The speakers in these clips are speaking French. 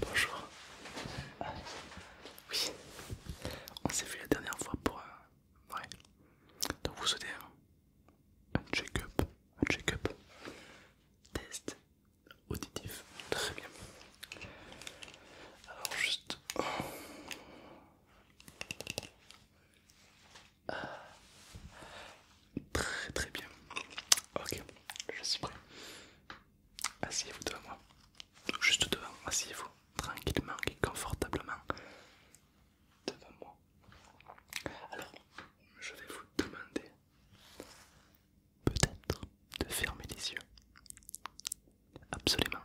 Bonjour. Oui, on s'est fait la dernière fois pour un... Euh, ouais. Donc vous souhaitez un check-up, un check-up, test auditif. Très bien. Alors juste... Très très bien. Ok, je suis prêt. Asseyez-vous devant moi. Juste devant, asseyez-vous tranquillement et confortablement devant moi. Alors, je vais vous demander peut-être de fermer les yeux. Absolument.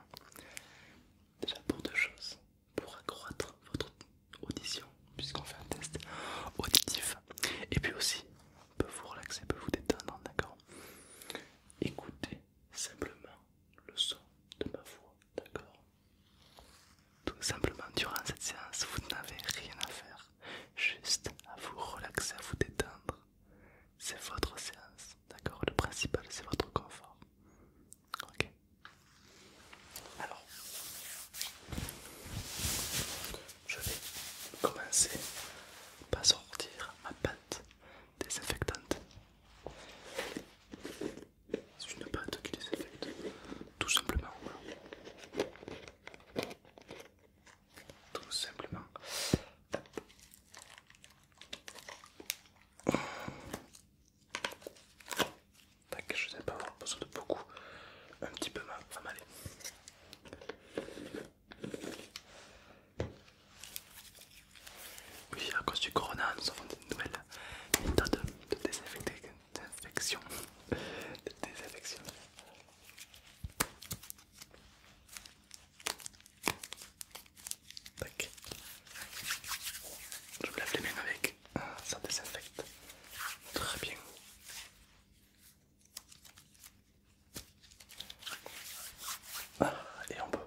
Déjà pour deux choses. Pour accroître votre audition puisqu'on fait un test auditif. Et puis aussi, on peut vous relaxer, peut vous détendre, d'accord Écoutez simplement le son de ma voix, d'accord Tout simplement, durant cette séance, vous n'avez rien à faire, juste à vous relaxer, à vous détendre. C'est votre séance, d'accord Le principal, c'est votre confort. Ok Alors, je vais commencer par sortir ma pâte désinfectante. C'est une pâte qui désinfecte, tout simplement. Tout simplement. je ne sais pas avoir besoin de beaucoup, un petit peu mal, va m'aller. Oui, à cause du corona, nous avons une nouvelle méthode de désinfection. désinfection. Tac. Je me lave les mains avec, ah, ça désinfecte très bien. Ah, et on peut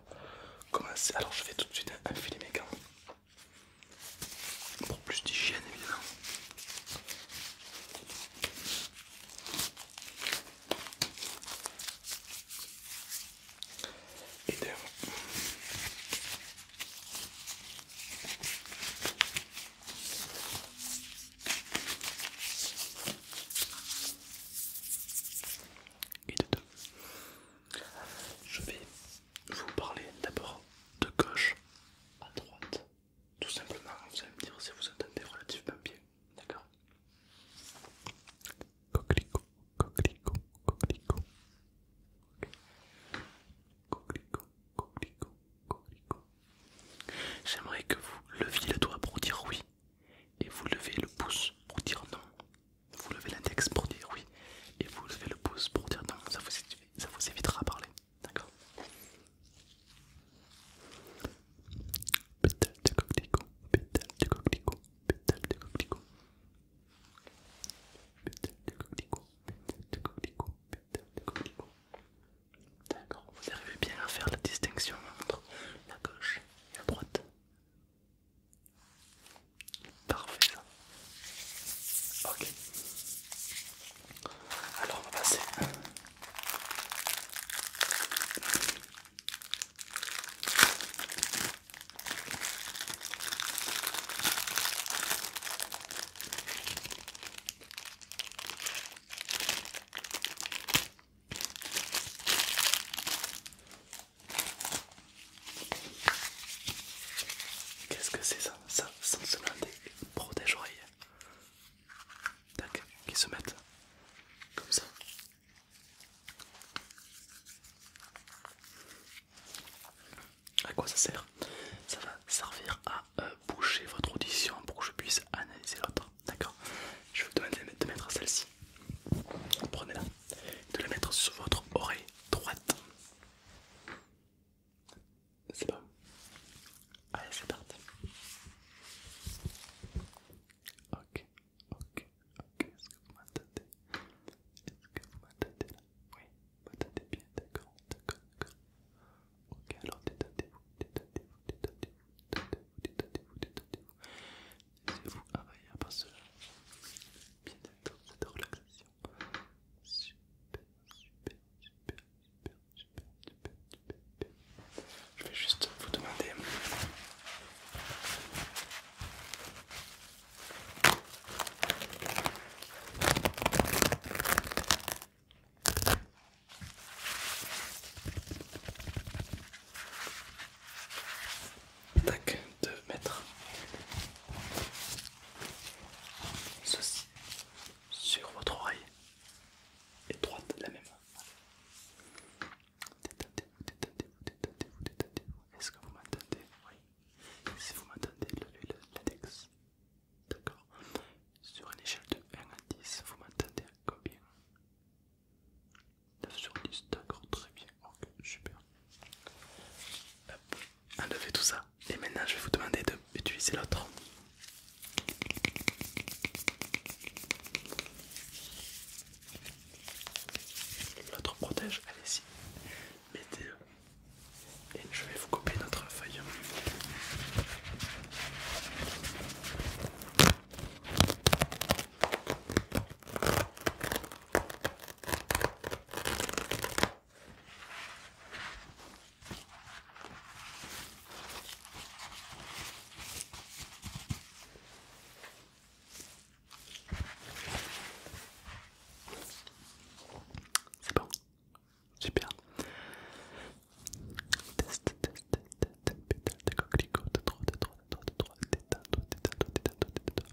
commencer. Alors je vais tout de suite un mes gants pour plus d'hygiène évidemment. Je vais vous parler d'abord de gauche à droite. Tout simplement, vous allez me dire si vous entendez relativement bien. D'accord Coquelicot, coquelicot, coquelicot. Coquelicot, J'aimerais que vous leviez le doigt pour dire oui et vous levez le pouce pour dire non. Vous levez l'index pour dire oui et vous levez le pouce pour dire non. Ça vous, évitera de parler. D'accord D'accord, vous arrivez bien à faire la distinction entre la gauche et la droite. Parfait Ok. Alors on va passer. Qu'est-ce que c'est ça Ça, sans se des protège-oreille. Tac, qui se mettent comme ça à quoi ça sert Ça va servir à euh, boucher votre audition pour que je puisse analyser l'autre. D'accord Je vais vous demander de mettre celle-ci. Prenez-la. De la mettre sur votre oreille droite. C'est bon Allez, c'est parti. Ok, ok, ok. Est-ce que vous m'entendez Est-ce que vous m'entendez là oui, bah tâtez bien, d'accord, d'accord, d'accord. Ok, alors détendez-vous, détendez-vous, détendez-vous, détendez-vous, détendez-vous, détendez-vous. Laissez-vous envahir par cela. Bien d'accord, cette relaxation. Super, super, super, super, super, super, super, super. Je vais juste vous demander. Tac, de mettre ceci sur votre oreille et droite la même. Détendez-vous, détendez-vous, détendez-vous, détendez-vous. Est-ce que vous m'entendez Oui. Si vous m'entendez, l'index. D'accord Sur une échelle de 1 à 10, vous m'entendez à combien 9 sur 10, d'accord, très bien, ok, super. Hop, enlevez tout ça. Et maintenant, je vais vous demander d'utiliser l'autre. L'autre protège, allez-y. Mettez euh, et je vais vous couper notre feuille. C'est bon, Super. Test, test, test, pétale de coquelicot, de de détends-toi, détends-toi, détends-toi, détends-toi.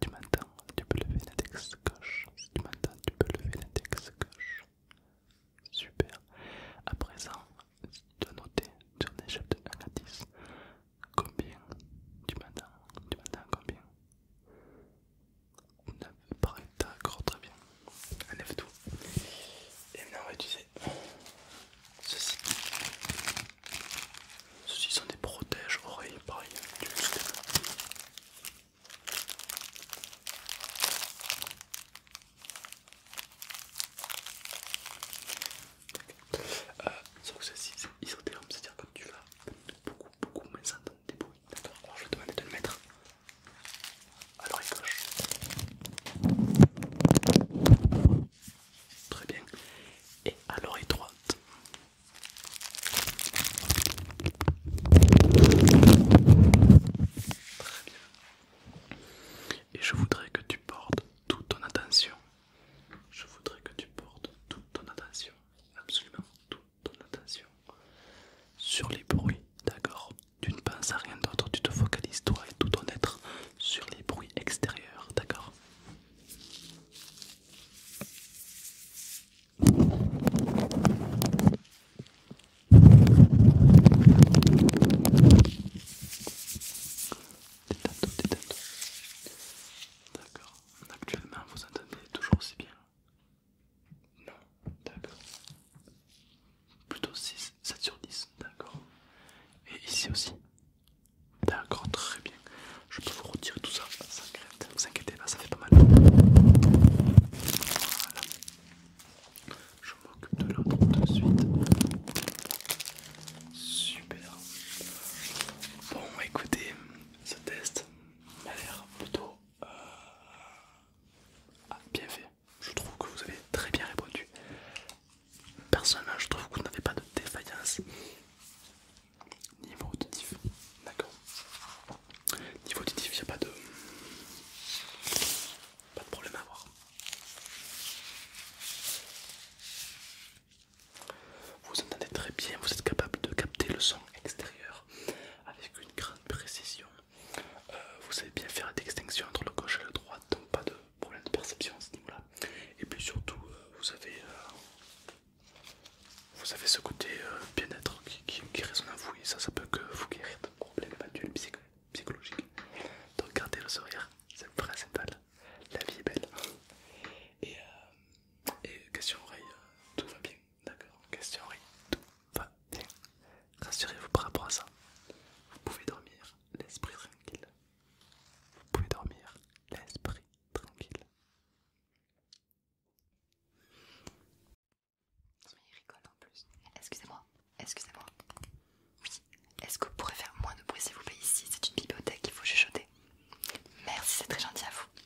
Tu m'entends, tu peux lever l'index gauche. tu m'entends, tu peux lever l'index gauche. Super. À présent, tu noter sur une échelle de à Combien Tu m'entends Tu m'entends combien 9, d'accord, très bien. Un f tout. Et maintenant on va utiliser ceci. Ceci sont des protèges oreilles, pareil, d'accord, euh, sauf que ceci c'est isotherme, c'est-à-dire comme tu vas beaucoup beaucoup moins sain D'accord, alors je vais te demander de le mettre à l'oreille gauche. Très bien. Et à l'oreille droite. Très bien. Et je voudrais que tu portes toute ton attention. Je voudrais que tu portes toute ton attention. Absolument toute Donne attention sur les bruits, d'accord Tu ne penses à rien d'autre, tu te focalises toi et tout ton être sur les bruits extérieurs, d'accord D'accord, actuellement vous entendez toujours si bien. Non, d'accord. Plutôt 6, 7 sur 10, d'accord. Et ici aussi. D'accord, très bien. Je peux vous retirer tout ça sans crainte. vous inquiétez pas, ça fait pas mal. Voilà. Je m'occupe de l'autre tout de suite. Super. Bon, écoutez, ce test m'a l'air plutôt ah, bien fait. Je trouve que vous avez très bien répondu. Personnellement, je trouve que vous n'avez pas de défaillance niveau auditif. D'accord. Niveau auditif, il n'y a pas de pas de problème à voir Vous entendez très bien, vous êtes capable de capter le son extérieur, avec une grande précision. Euh, vous savez bien faire la distinction entre le gauche et le droit, donc pas de problème de perception à ce niveau-là. Et puis surtout, euh, vous avez euh, vous avez ce côté bien-être qui, qui, résonne à vous et ça, ça peut que vous guérir de problèmes manuels Donc gardez le sourire, c'est le principal. La vie est belle. Et, question oreille, tout va bien. D'accord, question oui, tout va bien. Rassurez-vous par rapport à ça. Vous pouvez dormir l'esprit tranquille. Vous pouvez dormir l'esprit tranquille. Il rigole en plus. Excusez-moi, excusez-moi. Oui, est-ce que vous pourrez faire moins de bruit s'il vous plaît ici C'est une bibliothèque, il faut chuchoter. Merci, c'est très gentil à vous.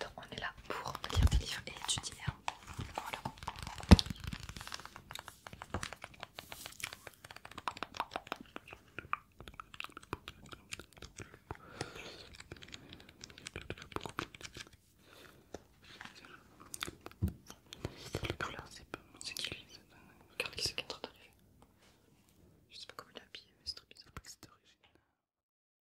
Donc on est là pour lire des livres et étudier. Voilà. C'est qui lui Regarde qui c'est qui est en train d'arriver. Je sais pas comment il est habillé, mais c'est trop bizarre. que